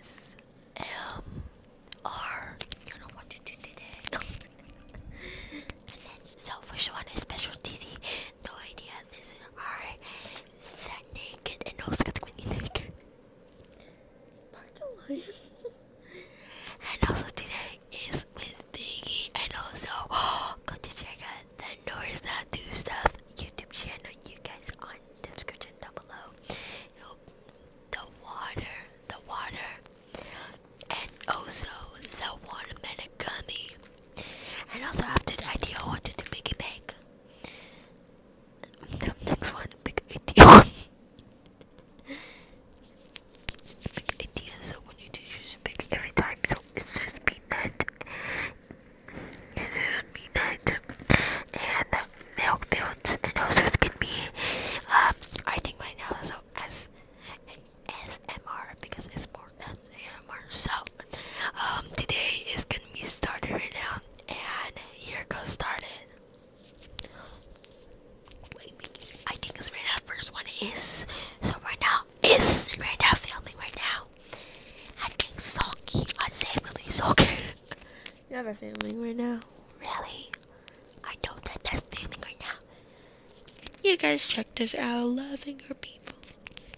S M R. You know what to do today. and one is special TV. No idea. This is R. That naked and no squeaky naked. and also today is with Biggie and also go to check out the North that do stuff YouTube channel, you guys on the description down below. the water, the water, and also the watermelon gummy. And also after the idea, I wanted to make it big. The next one, big idea. big idea. So when you do choose big every time, so it's just peanut, peanut and milk dudes and also it's gonna be um I think right now so as ASMR because it's more than ASMR so um today is gonna be started right now and here goes started Wait, I think it's right now first one is so right now is right now filming right now I'm getting sulky. My family's sulky. you have a family right now. Really? I don't think that's filming right now. You guys checked us out. Loving your people.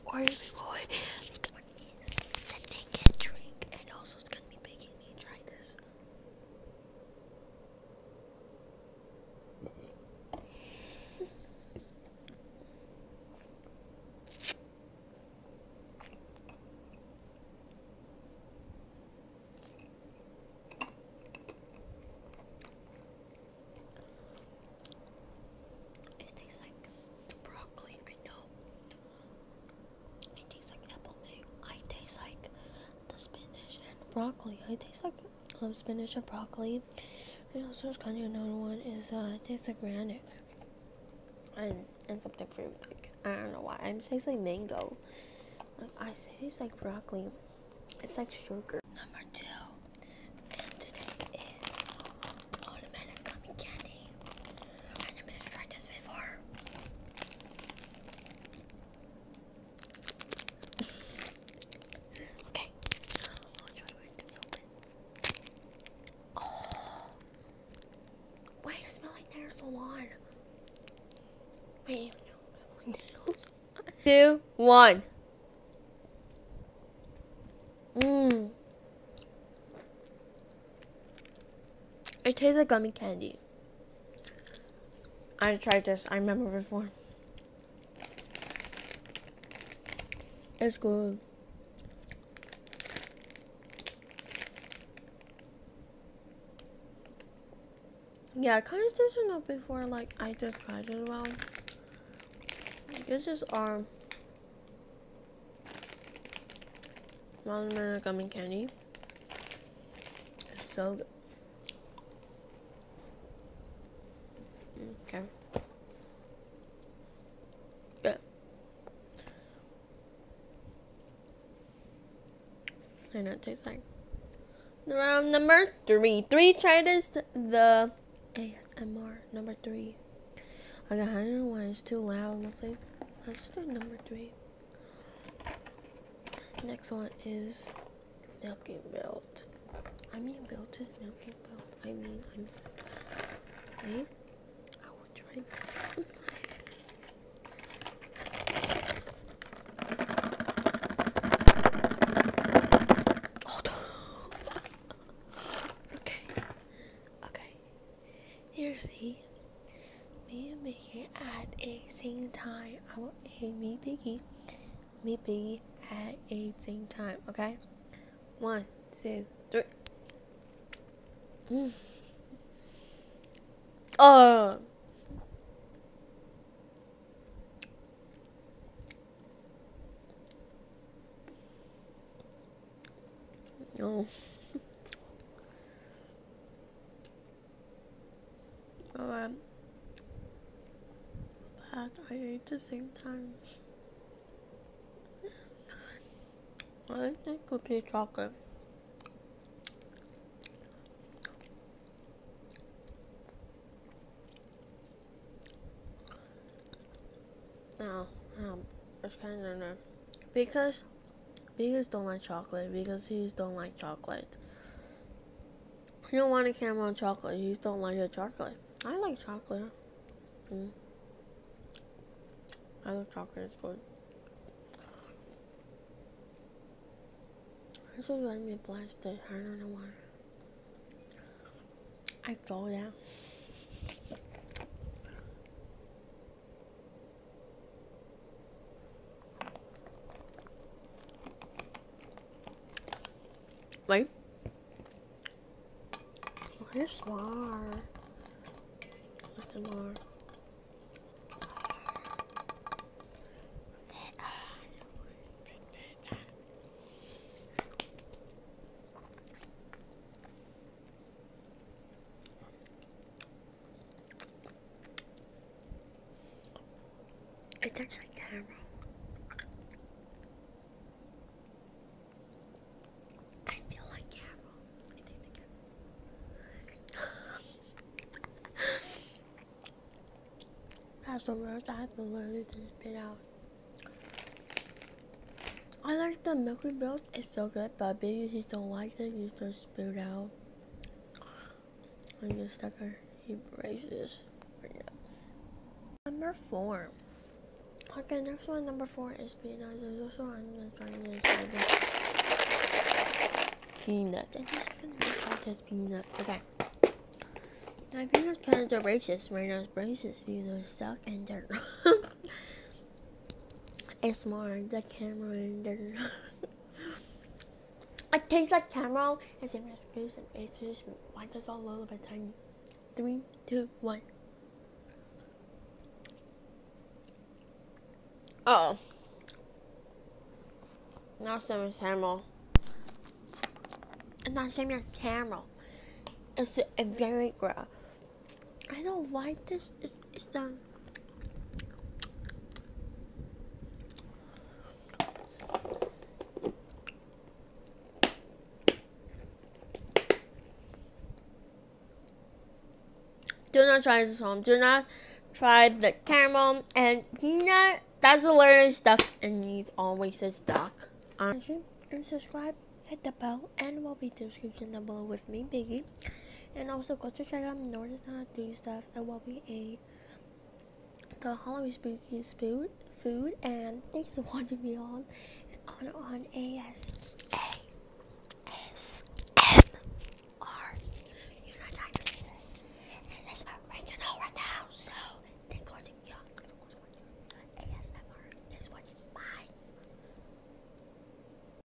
Or reward. That they can drink. And also it's gonna be making me try this. It tastes like broccoli. I know. It tastes like apple. I taste like the spinach and broccoli. I taste like um, spinach and broccoli. And also, it's kind of known one is uh, tastes like granite and and something fruity Like I don't know why It am tastes like mango. Like I taste like broccoli. It's like sugar. Number two. And today is automatic gummy candy. I never tried this before. Okay. Oh. Why do you smell like nails one? Wait, Two, one. Mmm. It tastes like gummy candy. I tried this. I remember before. It's good. Yeah, I kind of did it know before, like, I just tried it well. This is um, our watermelon gummy candy. It's so good. Okay. Good. I know it tastes like. Round number three. Three tries the Mr. number three. I got I don't know why it's too loud. Let's see. Let's do number three. Next one is milking belt. I mean, belt is milking belt. I mean, I'm. Wait, I will try this okay, okay. Here's the. Me and Biggie at a same time. I will, hey, me Biggie me be at a same time, okay? One, two, three. Mm. Oh. No. Um, but, I ate the same time. I think it would be chocolate. No, oh, um, it's kind of no. Because, vegans don't like chocolate. Because he's don't like chocolate. You don't want a caramel chocolate. You just don't like the chocolate. I like chocolate. Mm. I like chocolate. It's good. This is like me blasted. I don't know why. I told ya. Wait. Where's more? What's more? It tastes like caramel. I feel like caramel. It tastes like caramel. That's the worst I've literally just spit out. I like the milky milk, it's so good, but babies just don't like it, you just spit out. I'm just stucker. He braces Number four. Okay, next one, number four is peanut. There's also I'm trying to decide this. I'm just gonna reach this peanut. Okay. Now peanut kind of racist right now. Braces, you know, suck and it's more the camera and they It tastes like caramel and as excuse and basis why does all little bit tiny. Three, two, one. Uh oh. Not so much caramel. It's not same as caramel. It's a, very gross. I don't like this it's, done. Do not try this home. Do not try the caramel and peanut. That's lot of stuff, and needs always is stuck. Um, and subscribe, hit the bell, and we'll be description down below with me, Biggie. And also go to check out Nordic How to Do Stuff and what we ate the Halloween spooky food food and thanks want to be on on on AS S M R. You're not talking to this. And that's original right now, so thanks for y'all. Everyone's watching ASMR is watching mine.